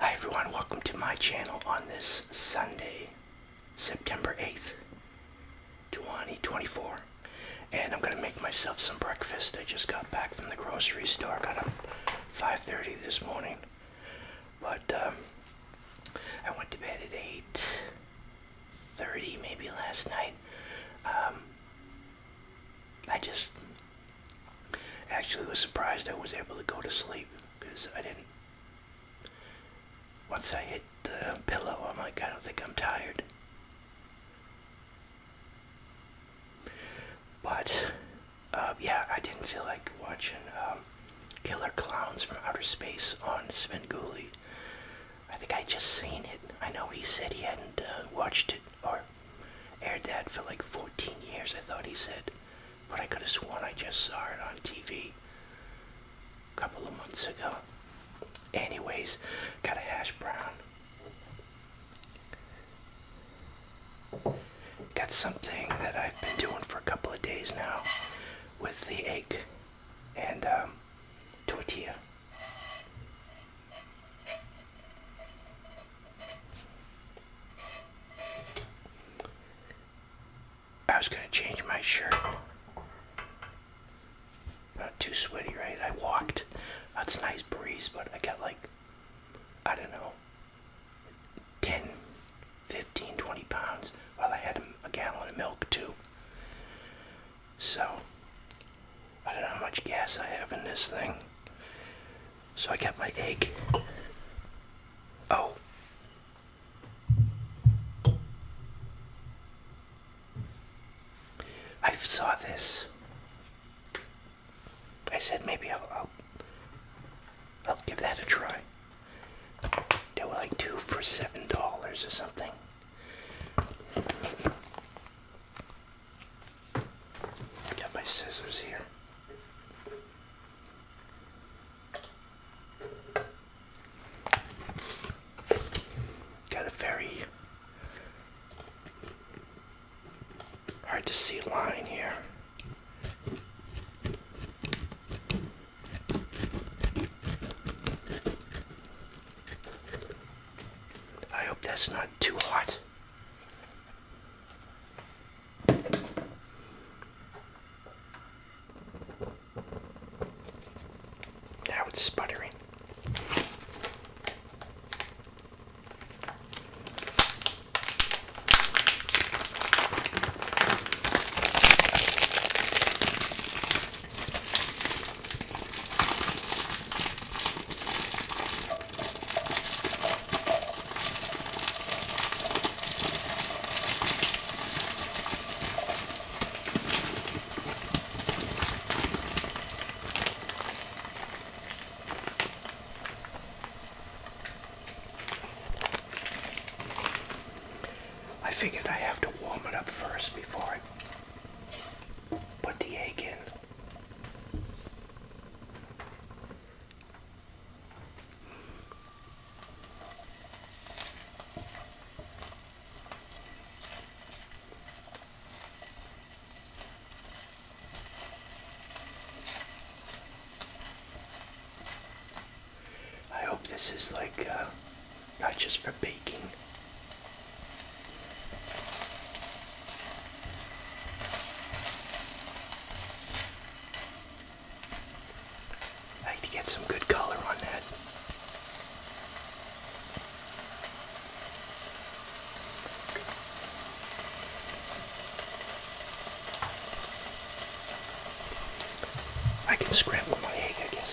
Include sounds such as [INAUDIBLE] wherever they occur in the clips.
Hi everyone, welcome to my channel on this Sunday, September 8th, 2024. And I'm gonna make myself some breakfast. I just got back from the grocery store, got up 5.30 this morning. But um, I went to bed at 8.30 maybe last night. Um, I just actually was surprised I was able to go to sleep because I didn't. Once I hit the pillow, I'm like, I don't think I'm tired. But, uh, yeah, I didn't feel like watching um, Killer Clowns from Outer Space on Spenguli. I think I just seen it. I know he said he hadn't uh, watched it or aired that for like 14 years, I thought he said. But I could have sworn I just saw it on TV a couple of months ago. Anyways, got a hash brown. Got something that I've been doing for a couple of days now with the egg and um, tortilla. I was gonna change my shirt. Not too sweaty, right? I walked. That's nice breeze, but I got like, I don't know, 10, 15, 20 pounds. Well, I had a gallon of milk too. So, I don't know how much gas I have in this thing. So I got my egg. Oh. I saw this. I said maybe I'll, I'll, I'll give that a try. They were like two for seven dollars or something. Got my scissors here. Got a very hard to see line here. I hope that's not too hot. Now it's sputtering. I figured I have to warm it up first before I put the egg in. I hope this is like uh, not just for baking. I like to get some good color on that. I can scramble my egg, I guess.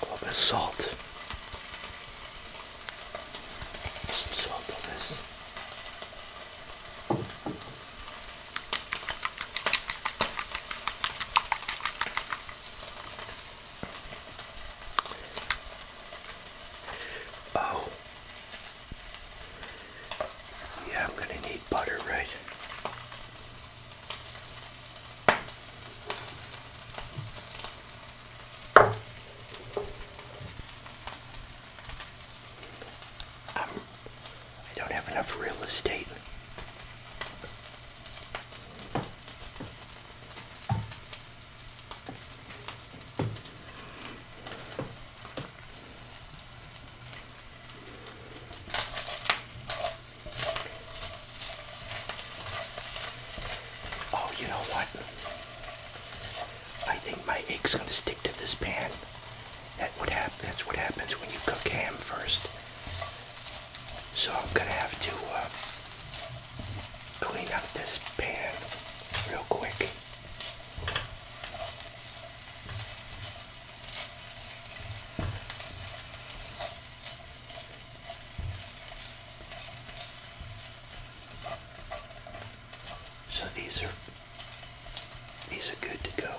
A little bit of salt. Some salt on this. Oh, yeah, I'm going to need butter, right? I'm, um, I do not have enough real estate. Oh, you know what? I think my egg's gonna stick to this pan. That would happen. That's what happens when you cook ham first. So I'm gonna have to uh, clean up this pan real quick. So these are these are good to go.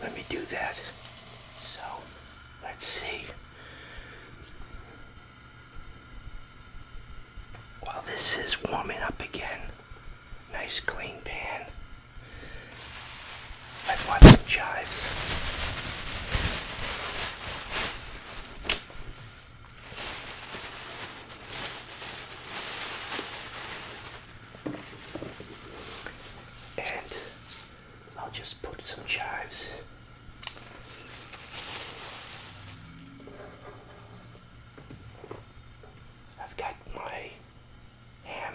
Let me do that. So let's see. While this is warming up again, nice clean pan. I've got some chives. And I'll just put some chives I've got my ham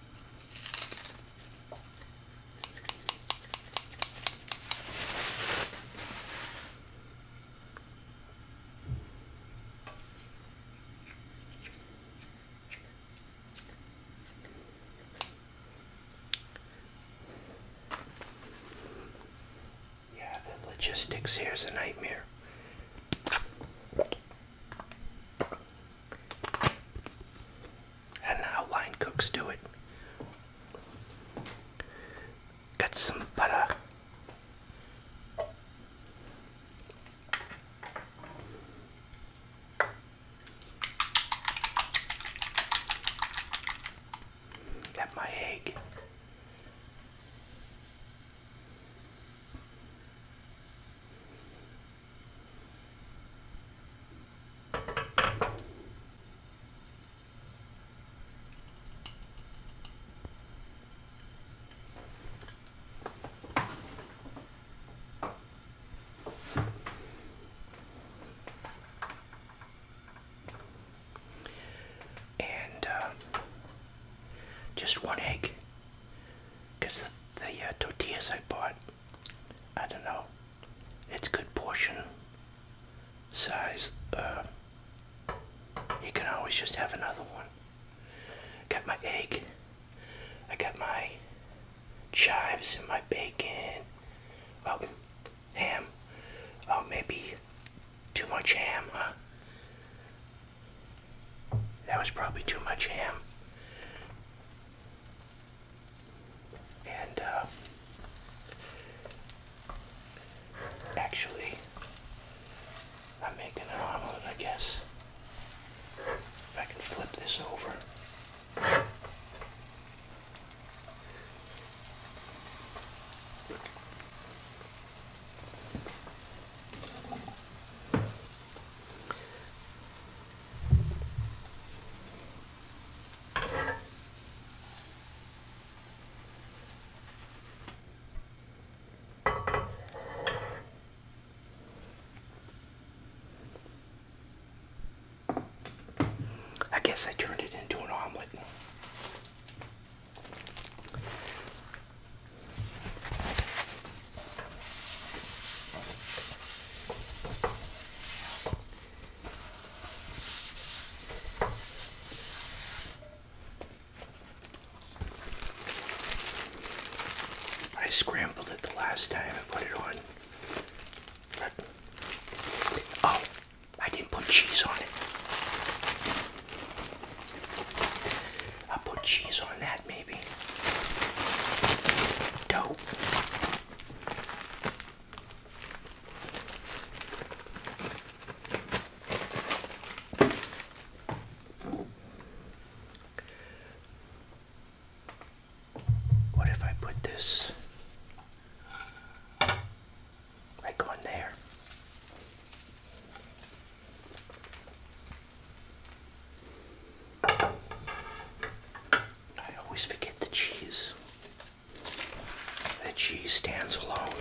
Yeah, the logistics here is a nightmare. And how line cooks do it. Got some butter. Got my egg. And uh, just one egg, because the the uh, tortillas I bought. I don't know. It's good portion size. Uh, you can always just have another one. Got my egg. I got my chives and my bacon. Oh, ham. Oh, maybe too much ham, that was probably too much ham. And uh, actually, I'm making an omelet, I guess. If I can flip this over. I guess I turned it into an omelet. I scrambled it the last time I put it on. oh, I didn't put cheese on it. i put cheese on that, maybe. Dope. What if I put this like on there? I always forget the cheese. The cheese stands alone.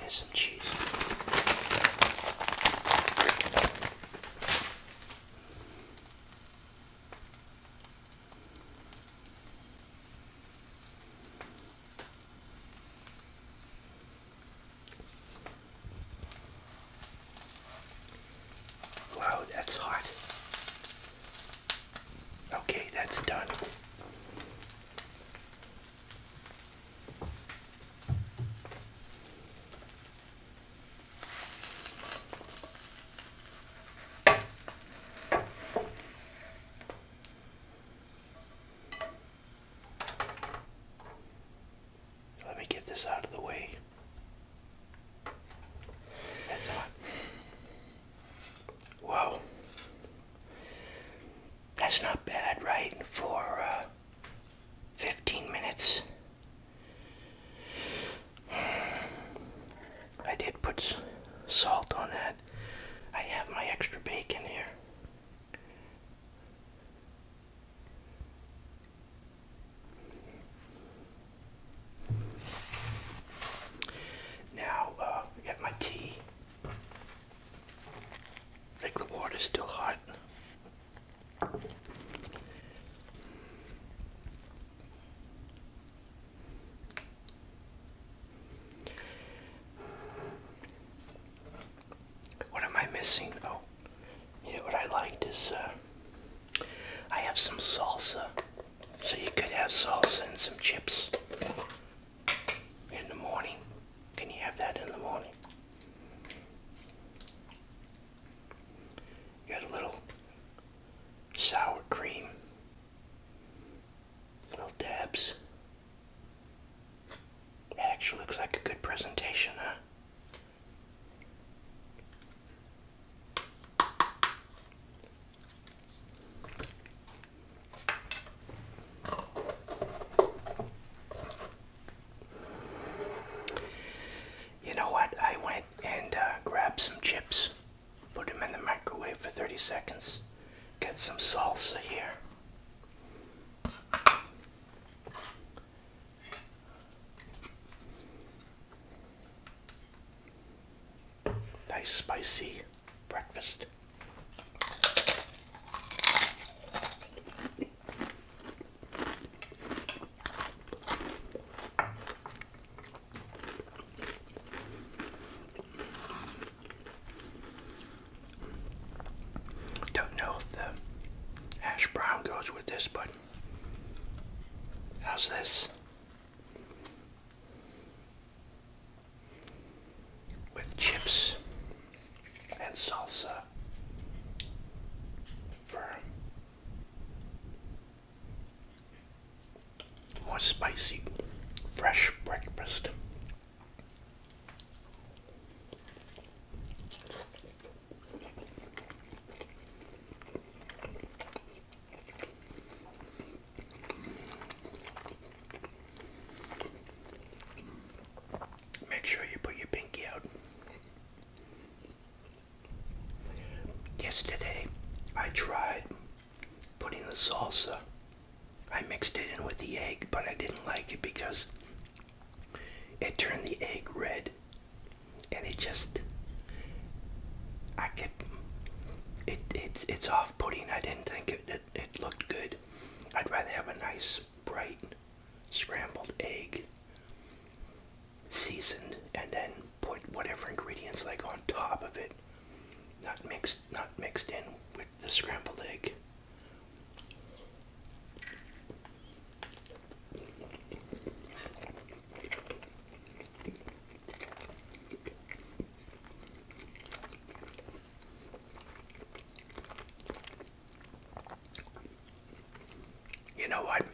There's some cheese. Wow, that's hot. Okay, that's done. Let me get this out of the way. That's hot. Whoa. That's not bad, right? For uh, 15 minutes. I did put salt on that. I have my extra bacon here. Now, uh, I got my tea. I think the water's still hot. What am I missing? Oh, yeah, what I liked is uh, I have some salsa. So you could have salsa and some chips in the morning. Can you have that in the morning? You got a little sour cream Little dabs. It actually looks like a good presentation, huh? You know what? I went and uh, grabbed some chips Put them in the microwave for 30 seconds. Get some salsa here. Nice spicy breakfast. Don't know if the hash brown goes with this, but how's this? With chips and salsa for more spicy, fresh breakfast. Make sure you put your pinky out. Yesterday, I tried Putting the salsa. I mixed it in with the egg, but I didn't like it because it turned the egg red. And it just, I could, it's, it's off-putting. I didn't think it, it looked good. I'd rather have a nice, bright, scrambled egg seasoned and then put whatever ingredients like on top of it not mixed not mixed in with the scrambled egg. You know what?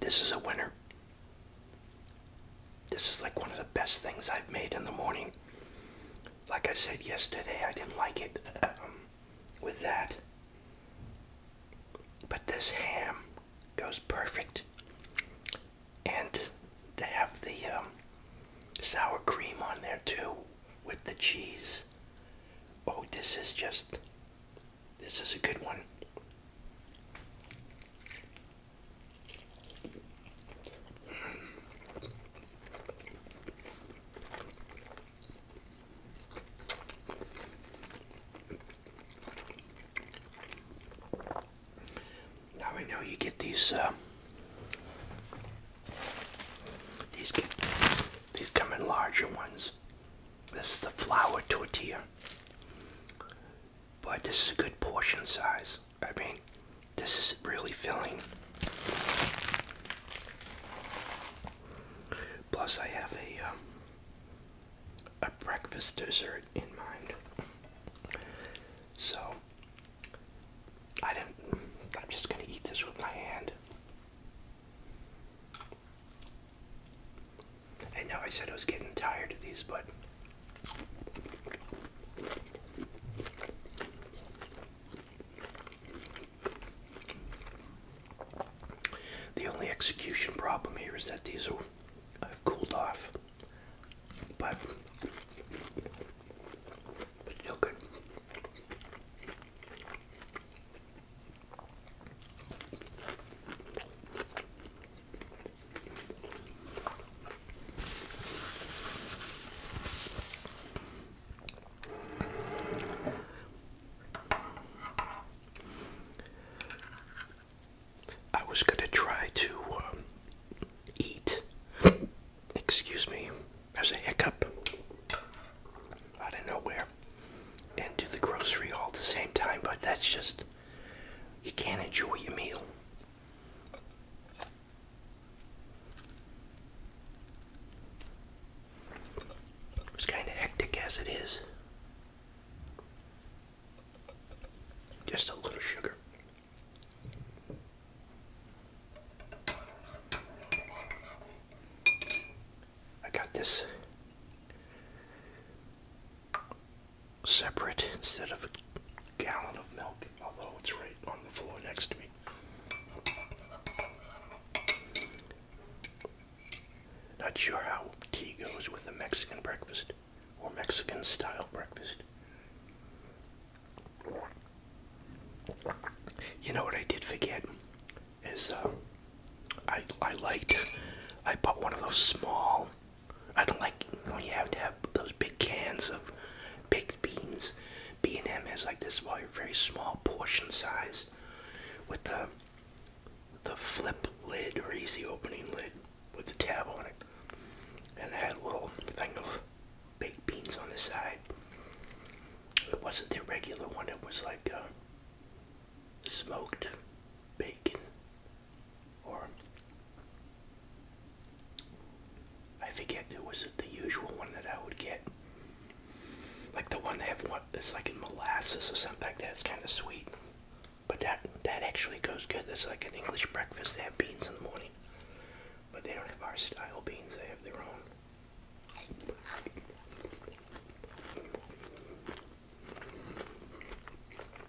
This is a winner. This is like one of the best things I've made in the morning. Like I said yesterday, I didn't like it um, with that. But this ham goes perfect. And to have the um, sour cream on there too with the cheese. Oh, this is just this is a good one. Now I know you get these uh, these get, these come in larger ones. This is the flour tortilla. But this is a good portion size. I mean, this is really filling. Plus, I have a um, a breakfast dessert in mind, so I didn't. I'm just gonna eat this with my hand. I know I said I was getting tired of these, but the only execution problem here is that these are I've cooled off, but but still good. I was going to try to um, eat, excuse me, as a hiccup out of nowhere and do the grocery all at the same time, but that's just you can't enjoy your meal. It's kind of hectic as it is. Just a little sugar. I got this separate instead of a gallon of milk, although it's right on the floor next to me. Not sure how tea goes with a Mexican breakfast or Mexican style breakfast. You know what I did forget is uh, I I liked I bought one of those small I don't like when you have to have those big cans of baked beans. B&M has like this very small portion size with the the flip lid or easy opening lid with the tab on it. And it had a little thing of baked beans on the side. It wasn't the regular one, it was like uh, smoked bacon or I forget it was the usual one that I would get, like the one they have what it's like in molasses or something like that. It's kind of sweet, but that that actually goes good. It's like an English breakfast. They have beans in the morning, but they don't have our style beans. They have their own.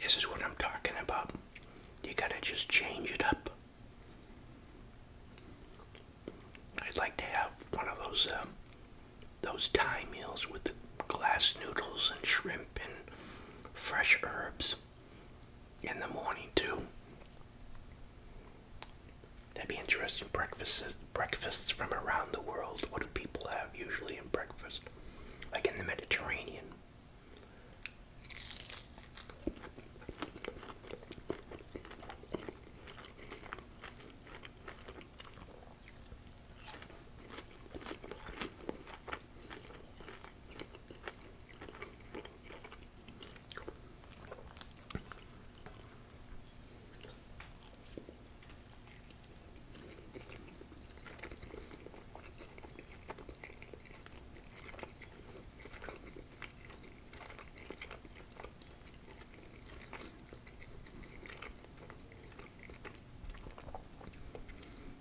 This is what I'm talking about. You gotta just change it up. I'd like to have one of those um, those Thai meals with glass noodles and shrimp and fresh herbs in the morning too. That'd be interesting. Breakfasts, breakfasts from around the world. What do people have usually in breakfast? like in the Mediterranean.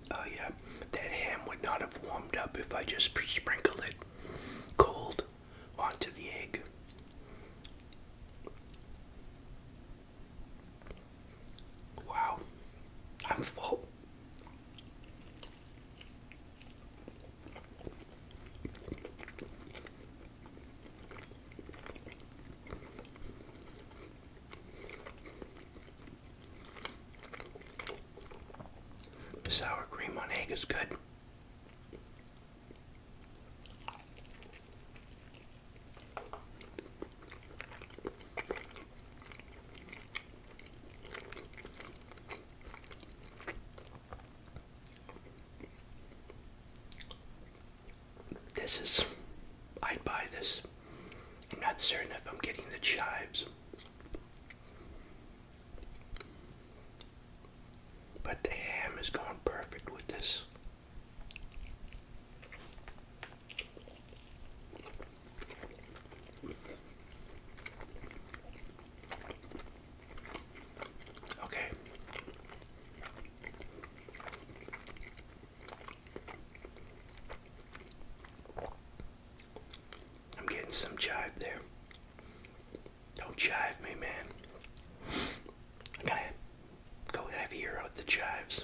Oh, yeah, that ham would not have warmed up if I just sprinkled it cold onto the egg. Wow, I'm full. sour cream on egg is good. This is, I'd buy this. I'm not certain if I'm getting the chives. But the ham is going perfect with this. Okay. I'm getting some jive there. Don't jive me, man. I go heavier out the jives.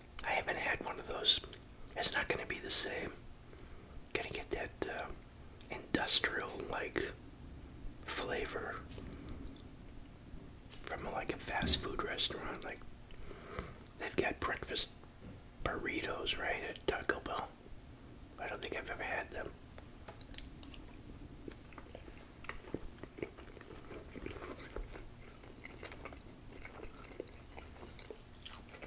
I haven't had one of those. It's not going to be the same. Gonna get that uh, industrial like flavor from like a fast food restaurant. Like they've got breakfast burritos right at Taco Bell. I don't think I've ever had them.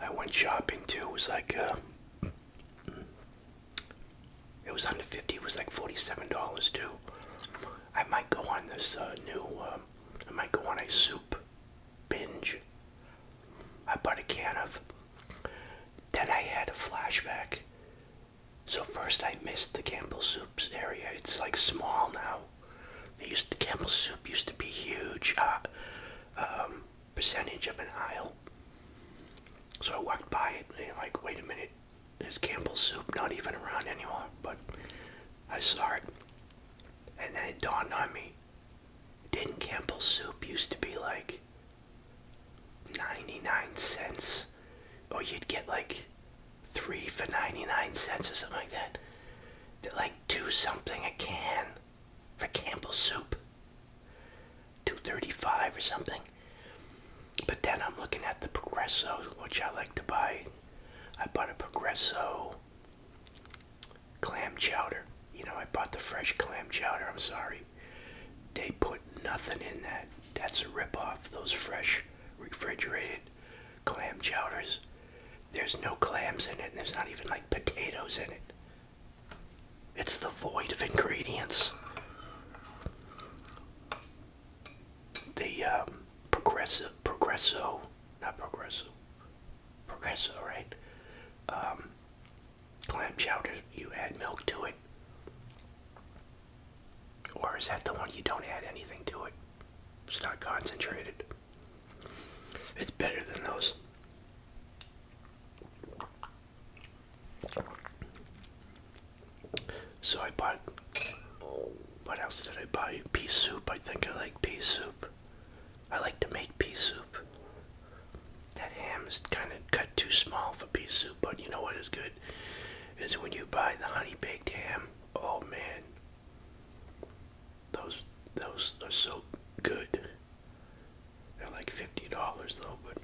I went shopping too. It was like uh, it was under fifty. It was like forty-seven dollars too. I might go on this uh, new. Um, I might go on a soup binge. I bought a can of. Then I had a flashback. So first I missed the Campbell Soups area. It's like small now. They used the Campbell soup used to be huge uh, um, percentage of an aisle. So I walked by it and like, wait a minute, is Campbell soup not even around anymore? But I saw it, and then it dawned on me. Didn't Campbell soup used to be like 99 cents? Or you'd get like three for 99 cents or something like that. They're like two something a can for Campbell soup. 235 or something. But then I'm looking at the Progresso, which I like to buy. I bought a Progresso clam chowder. You know, I bought the fresh clam chowder, I'm sorry. They put nothing in that. That's a ripoff. Those fresh refrigerated clam chowders there's no clams in it, and there's not even like potatoes in it. It's the void of ingredients. The um, progressive, progresso, not progressive, progresso, right? Um, clam chowder, you add milk to it. Or is that the one you don't add anything to it? It's not concentrated. It's better than those. So I bought. What else did I buy? Pea soup. I think I like pea soup. I like to make pea soup. That ham is kind of cut too small for pea soup, but you know what is good? Is when you buy the honey baked ham. Oh man. Those those are so good. They're like fifty dollars though, but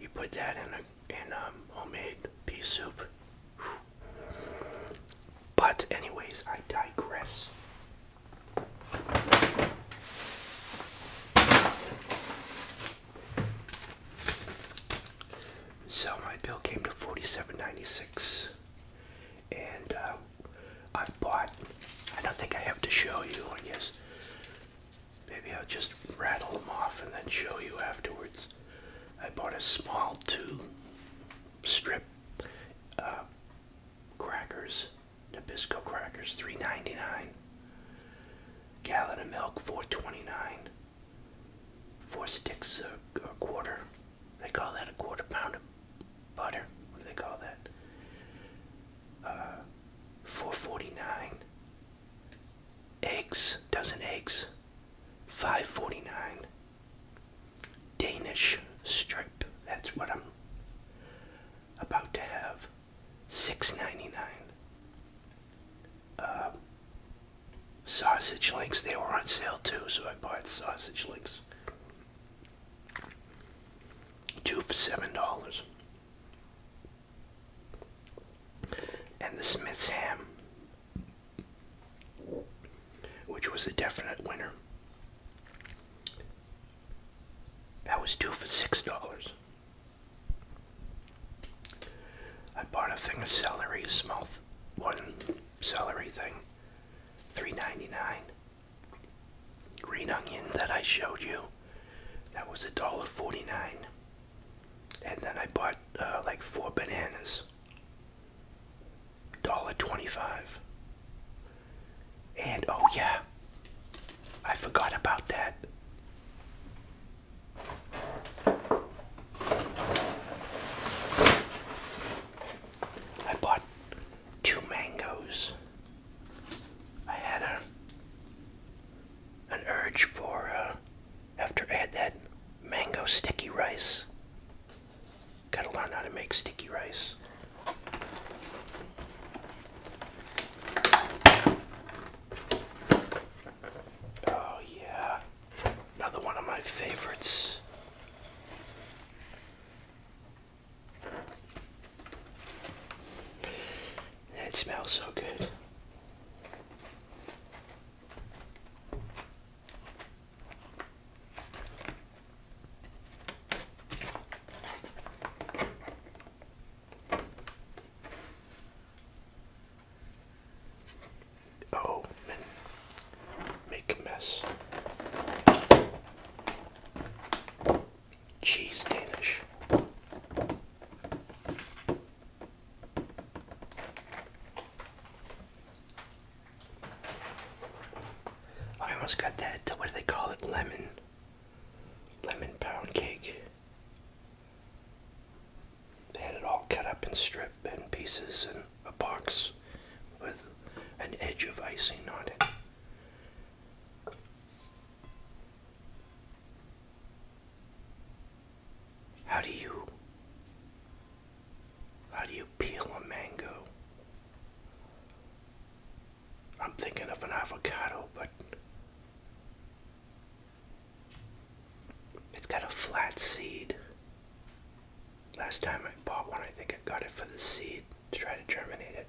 you put that in a in um, homemade pea soup. But anyways, I digress. So my bill came to forty-seven ninety-six, and uh, I bought. I don't think I have to show you, I guess. Maybe I'll just rattle them off and then show you afterwards. I bought a small two strip uh, crackers, Nabisco crackers, three ninety-nine. Gallon of milk, four 4 sticks a, quarter. They call that a quarter pound butter. What do they call that? Uh, four forty-nine. Eggs, dozen eggs, five forty-nine. Danish strip. That's what I'm about to have. Six ninety-nine. Uh, sausage links. They were on sale too, so I bought sausage links. Two for seven dollars. And the Smith's ham, which was a definite winner. That was two for six dollars. I bought a thing of celery, a small one celery thing, three ninety nine green onion that I showed you. That was a dollar forty-nine. And then I bought uh, like four bananas. Dollar twenty-five. And oh yeah, I forgot about that. I bought two mangoes. I had a, an urge for, uh, after I had that mango sticky rice. Gotta learn how to make sticky rice. Oh, yeah. Another one of my favorites. It smells so good. Oh, Make a mess. Cheese Danish. I almost got that. What do they call it? Lemon. Lemon pound cake. They had it all cut up in strips and pieces in a box with an edge of icing on it. How do you how do you peel a mango? I'm thinking of an avocado, but it's got a flat seed. Last time I bought one, I think I got it for the seed to try to germinate it.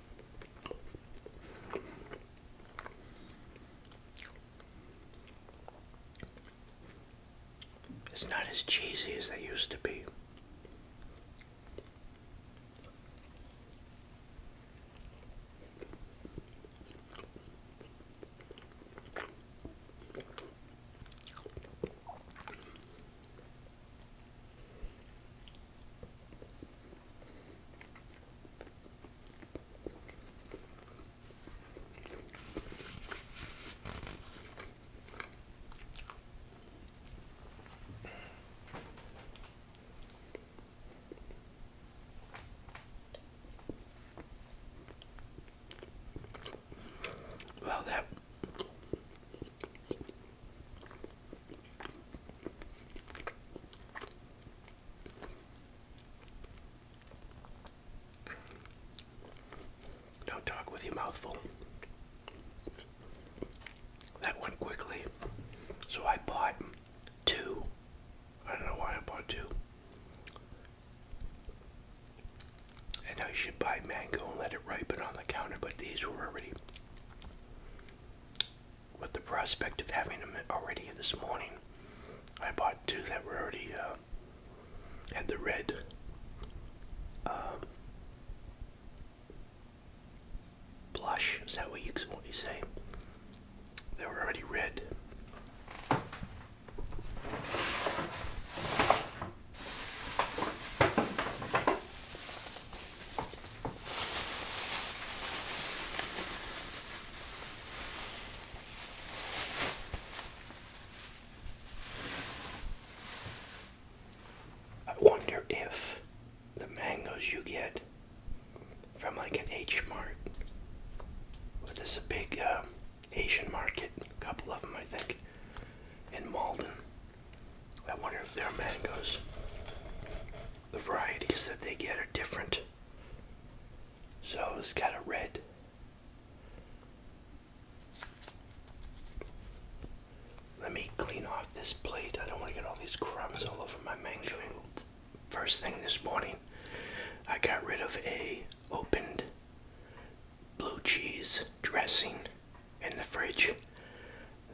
It's not as cheesy as they used to be. Well, that don't talk with your mouth full. That went quickly. So I bought two. I don't know why I bought two. And I should buy mango and let it ripen on the counter, but these were already with the prospect of having them already this morning. I bought two that were already uh, had the red. Um, blush is that what you what you say? They were already red. I wonder if the mangoes you get from like an H Mart, well, this a big um, Asian market, a couple of them I think, in Malden. I wonder if their mangoes, the varieties that they get are different so it's got a red. Let me clean off this plate. I don't want to get all these crumbs all over my mango. First thing this morning, I got rid of a opened blue cheese dressing in the fridge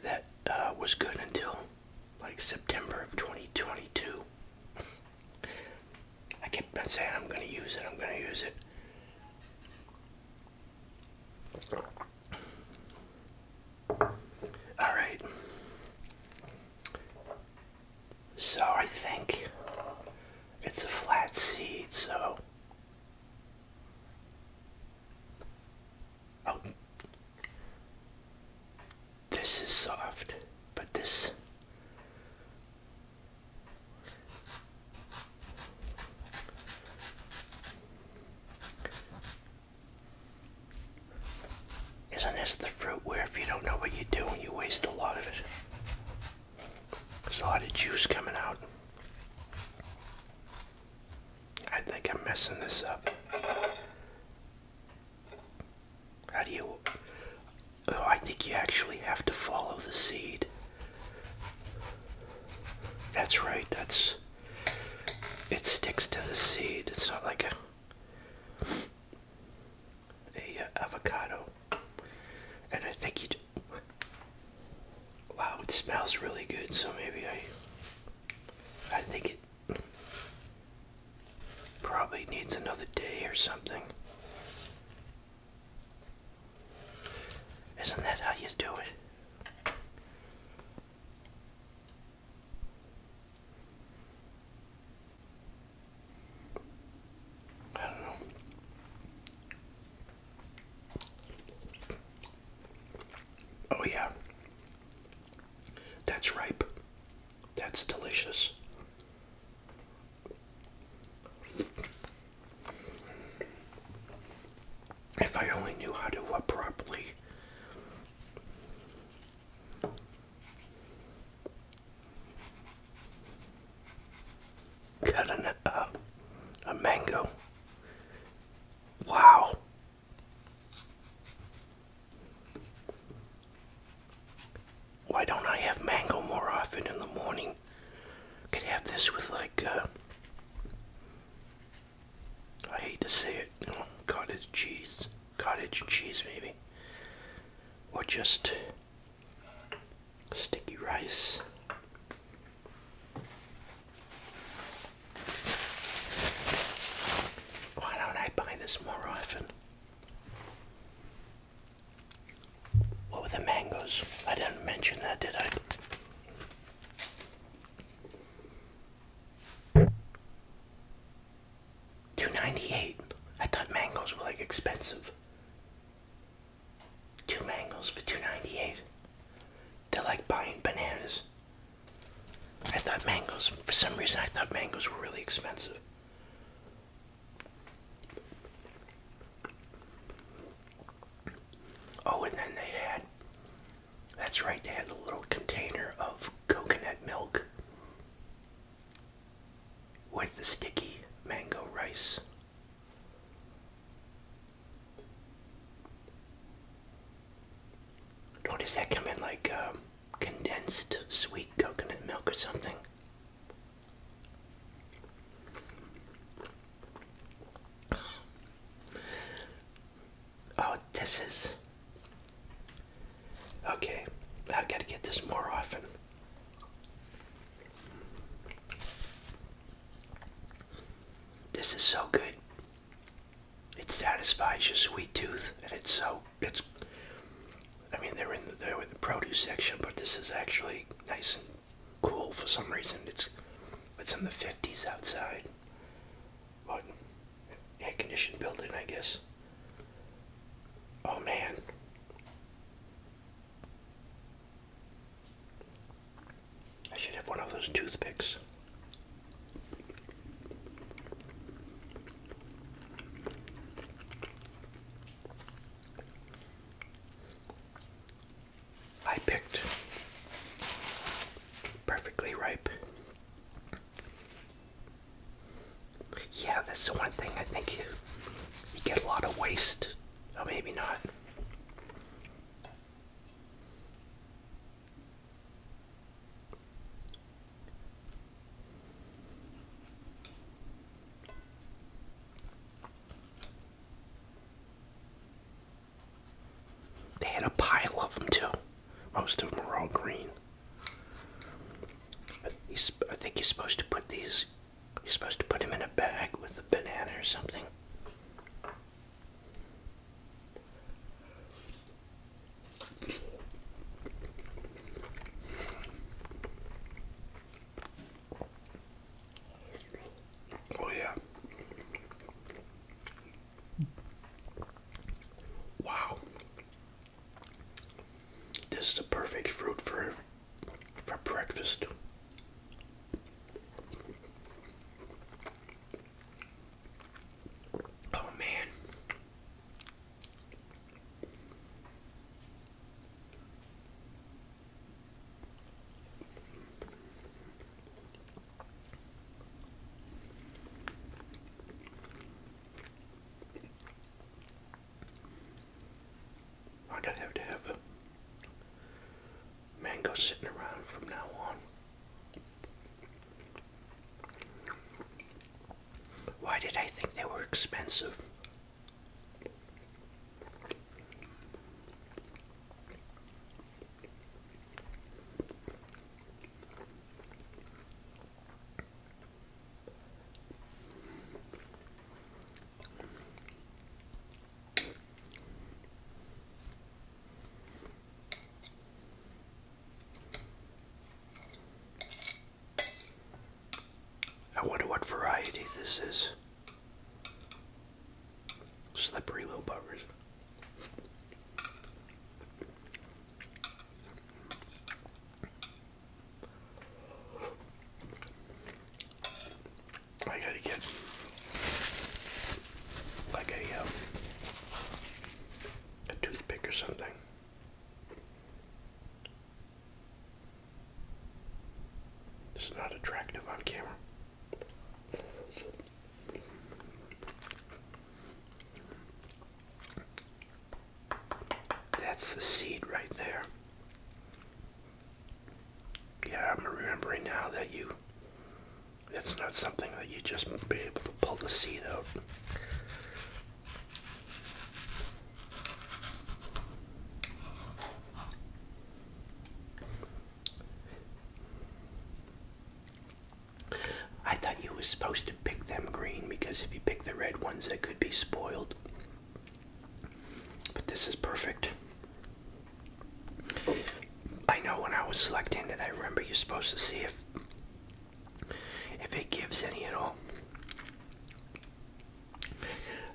that uh, was good until like September of 2022. I kept on saying I'm gonna use it, I'm gonna use it. Alright. So I think it's a flat seed, so. This is soft, but this isn't this the fruit where if you don't know what you're doing, you waste a lot of it? There's a lot of juice coming out. I think I'm messing this up. How do you? Oh, I think you actually have to follow the seed. That's right. That's. It sticks to the seed. It's not like a a uh, avocado. And I think you. Wow, it smells really good. So maybe I. I think it Probably needs another day or something. Isn't that how you do it? I don't know. Oh, yeah. That's ripe. That's delicious. If I only knew how to uh, properly cut an, uh, a mango. Wow. Why don't I have mango more often in the morning? Could have this with like, uh, I hate to say it, cottage cheese, cottage cheese maybe, or just sticky rice. Why don't I buy this more often? What were the mangoes? I didn't mention that, did I? Two ninety eight. I thought mangoes were like expensive. Two mangoes for two ninety eight. They're like buying bananas. I thought mangoes for some reason I thought mangoes were really expensive. Oh, and then they had, that's right, they had a little container of coconut milk with the sticky mango rice. Notice that come in like um, condensed sweet coconut milk or something. Oh, this is. Okay, i got to get this more often. This is so good. It satisfies your sweet tooth, and it's so it's I mean they're in the they're in the produce section, but this is actually nice and cool for some reason. It's it's in the 50s outside. But air conditioned building, I guess. Oh man. I should have one of those toothpicks. I picked perfectly ripe. Yeah, that's the one thing I think you, get a lot of waste. Oh, maybe not. They had a pile of them too. Most of them are all green. I think you're supposed to put these, you're supposed to put them in a bag with a banana or something. Oh yeah. Wow. This is the perfect fruit for for breakfast. Oh man. I'm to have to have a mango sitting around from now on. Why did I think they were expensive? I wonder what variety this is. Slippery little buggers. I gotta get like a um, a toothpick or something. It's not attractive on camera. That's the seed right there. Yeah, I'm remembering now that you, that's not something that you just be able to pull the seed out. I thought you were supposed to pick them green because if you pick the red ones, they could be spoiled. But this is perfect. I know when I was selecting it, I remember you're supposed to see if if it gives any at all.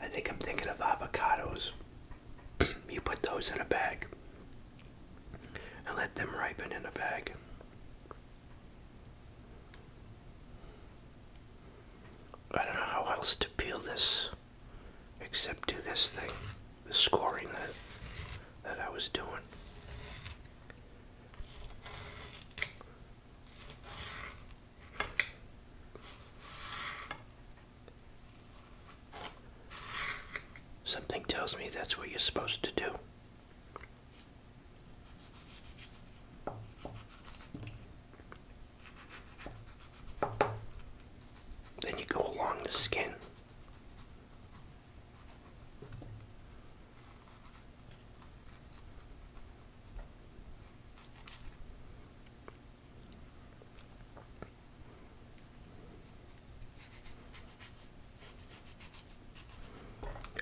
I think I'm thinking of avocados. [CLEARS THROAT] you put those in a bag and let them ripen in a bag. I don't know how else to peel this except do this thing, the scoring that that I was doing. Something tells me that's what you're supposed to do. Then you go along the skin.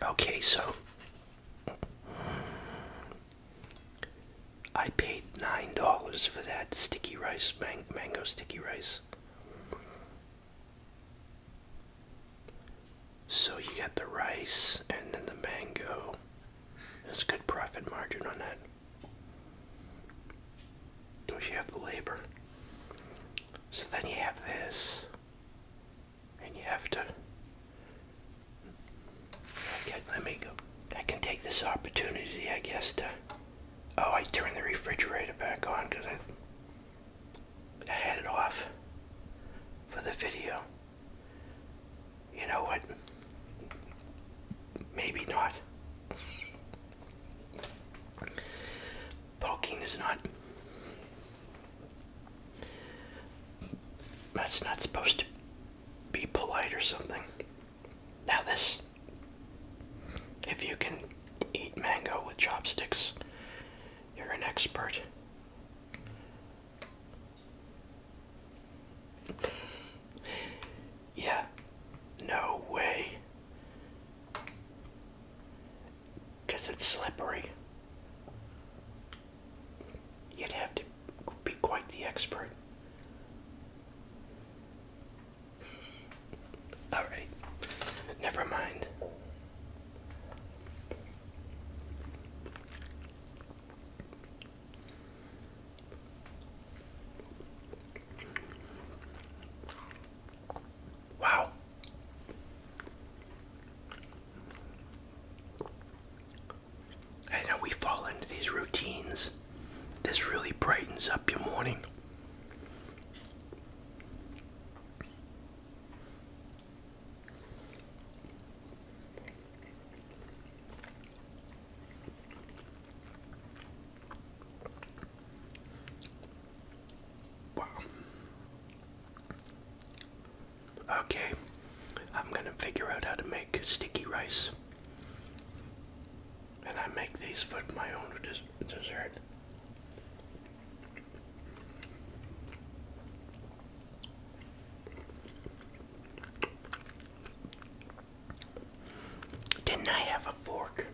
Okay, so I paid nine dollars for that sticky rice, mango sticky rice. So you got the rice and then the mango. There's good profit margin on that. Because you have the labor. So then you have this. And you have to. Okay, let me I can take this opportunity, I guess, to. Oh, I turned the refrigerator back on because I, I had it off for the video. You know what? Maybe not. Poking is not. That's not supposed to be polite or something. Now, this. If you can eat mango with chopsticks, you're an expert. [LAUGHS] yeah, no way. Because it's slippery. You'd have to be quite the expert. Alright, never mind. Wow. I know we fall into these routines. This really brightens up your morning. Wow. Okay, I'm gonna figure out how to make sticky rice. And I make these for my own dessert. Didn't I have a fork?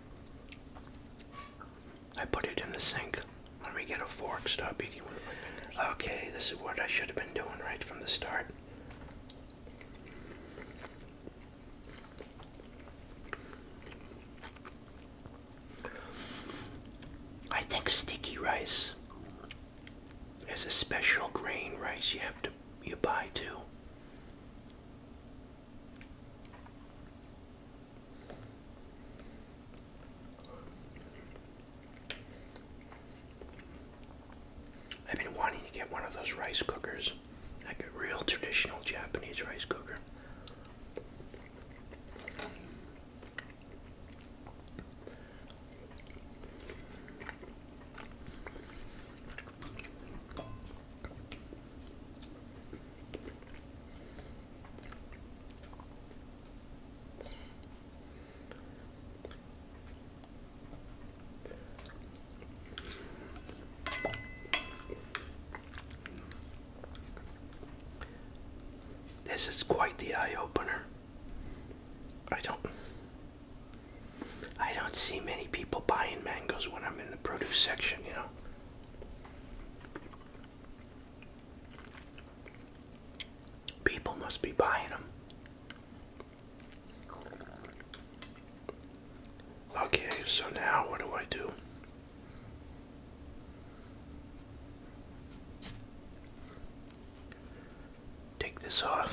I put it in the sink. Let me get a fork. Stop eating with my fingers. Okay, this is what I should have been doing right from the start. I think sticky rice there's a special grain rice you have to you buy too. I've been wanting to get one of those rice cookers, like a real traditional Japanese rice cooker. This is quite the eye opener. I don't I don't see many people buying mangoes when I'm in the produce section, you know. People must be buying them. Okay, so now what do I do? Take this off.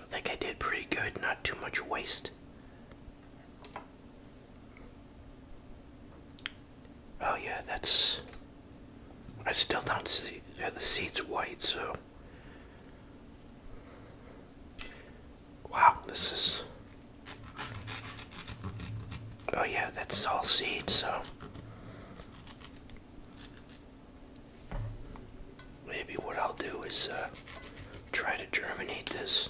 I think I did pretty good, not too much waste. Oh yeah, that's. I still don't see. Yeah, the seed's white, so. Wow, this is. Oh yeah, that's all seed, so. Maybe what I'll do is uh, try to germinate this.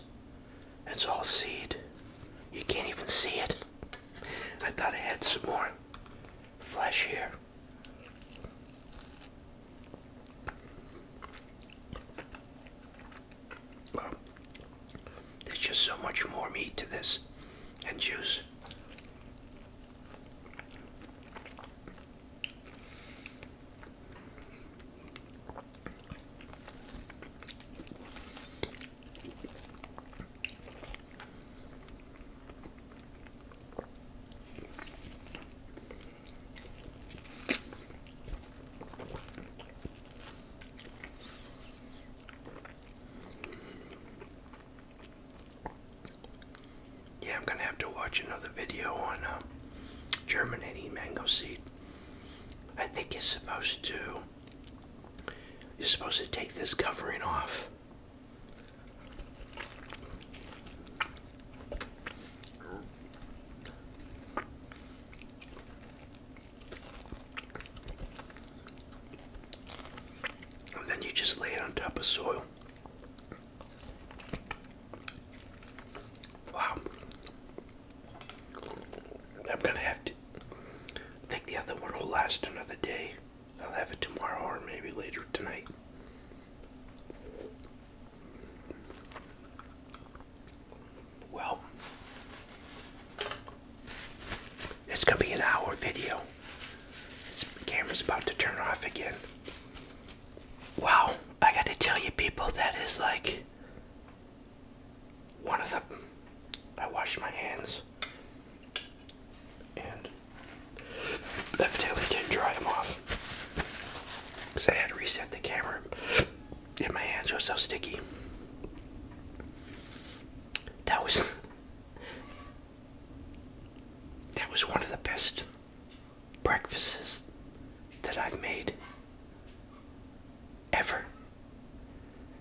It's all seed. You can't even see it. I thought I had some more flesh here. there's just so much more meat to this and juice. Yeah, I'm gonna have to watch another video on uh, germinating mango seed. I think you're supposed to you're supposed to take this covering off. And then you just lay it on top of soil. Wow. I'm gonna have to. I think the other one will last another day. I'll have it tomorrow or maybe later tonight. Well, it's gonna be an hour video. This camera's about to turn off again. Wow, I gotta tell you, people, that is like one of them. I washed my hands and evidently didn't dry them off because I had to reset the camera and my hands were so sticky. That was that was one of the best breakfasts that I've made ever.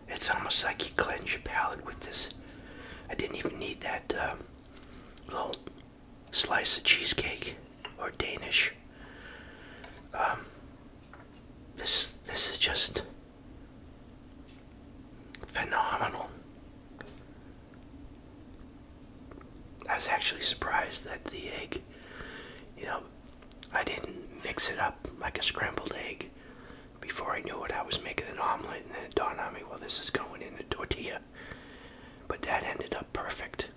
It's almost like you cleanse your palate with this. I didn't even need that um, little slice of cheesecake or Danish. Um, this this is just phenomenal. I was actually surprised that the egg, you know, I didn't mix it up like a scrambled egg. Before I knew it, I was making an omelet, and then it dawned on me, well, this is going in a tortilla. But that ended up perfect.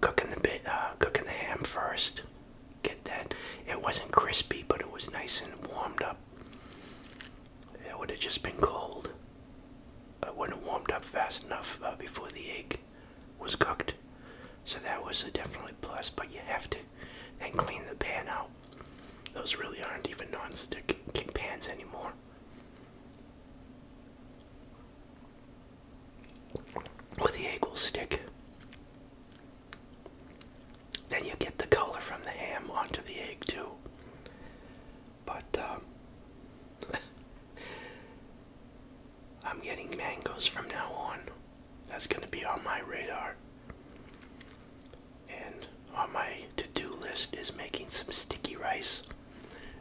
Cooking the bit, uh, cooking the ham first. Get that? It wasn't crispy, but it was nice and warmed up. It would have just been cold. It wouldn't have warmed up fast enough uh, before the egg was cooked. So that was a definitely plus, but you have to then clean the pan out. Those really aren't even non-stick pans anymore. With the egg will stick. Then you get the color from the ham onto the egg too. But um, [LAUGHS] I'm getting mangoes from now on. That's going to be on my radar. And on my to do list is making some sticky rice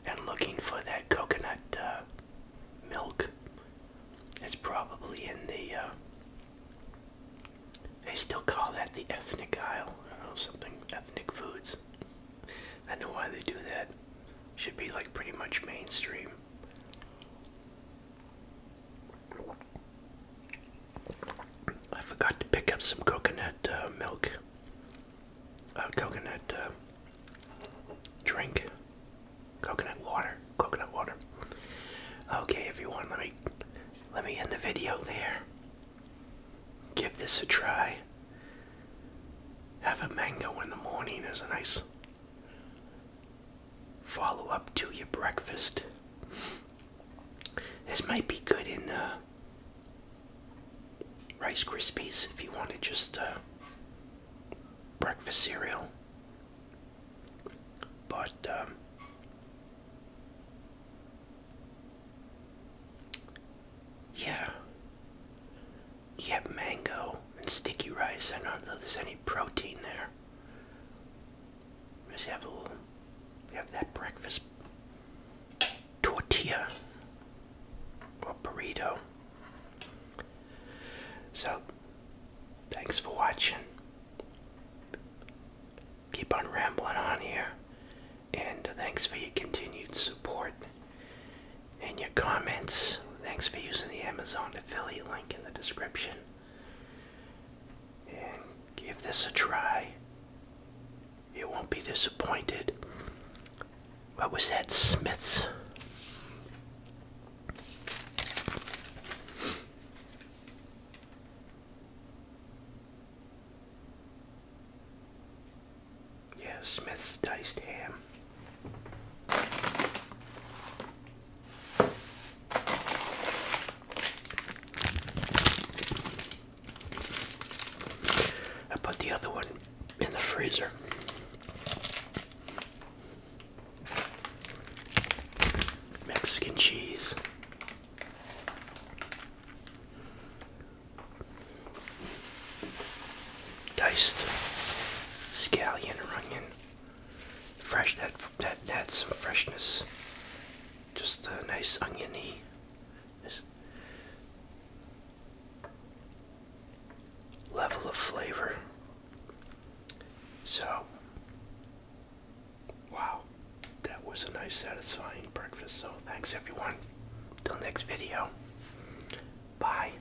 and looking for that coconut uh, milk. It's probably in the. Uh, they still call that the ethnic aisle or something. Ethnic foods. I know why they do that. Should be like pretty much mainstream. I forgot to pick up some coconut uh, milk, uh, coconut uh, drink, coconut water, coconut water. Okay, everyone, let me let me end the video there. Give this a try. Have a mango in the morning is a nice follow up to your breakfast. This might be good in uh, Rice Krispies if you want to just uh, breakfast cereal. But um, yeah, you have mango and sticky rice. I don't know if there's any protein there. Just have a little, we have that breakfast tortilla or burrito. So, thanks for watching. Keep on rambling on here, and thanks for your continued support and your comments. Thanks for using the Amazon affiliate link in the description. And give this a try. You won't be disappointed. What was that, Smith's? Yeah, Smith's diced ham. I put the other one in the freezer. Mexican cheese. Diced scallion or onion. Fresh, that, that, that's some freshness. Just a nice oniony. Level of flavor. So, wow, that was a nice, satisfying breakfast. So, thanks everyone. Till next video. Bye.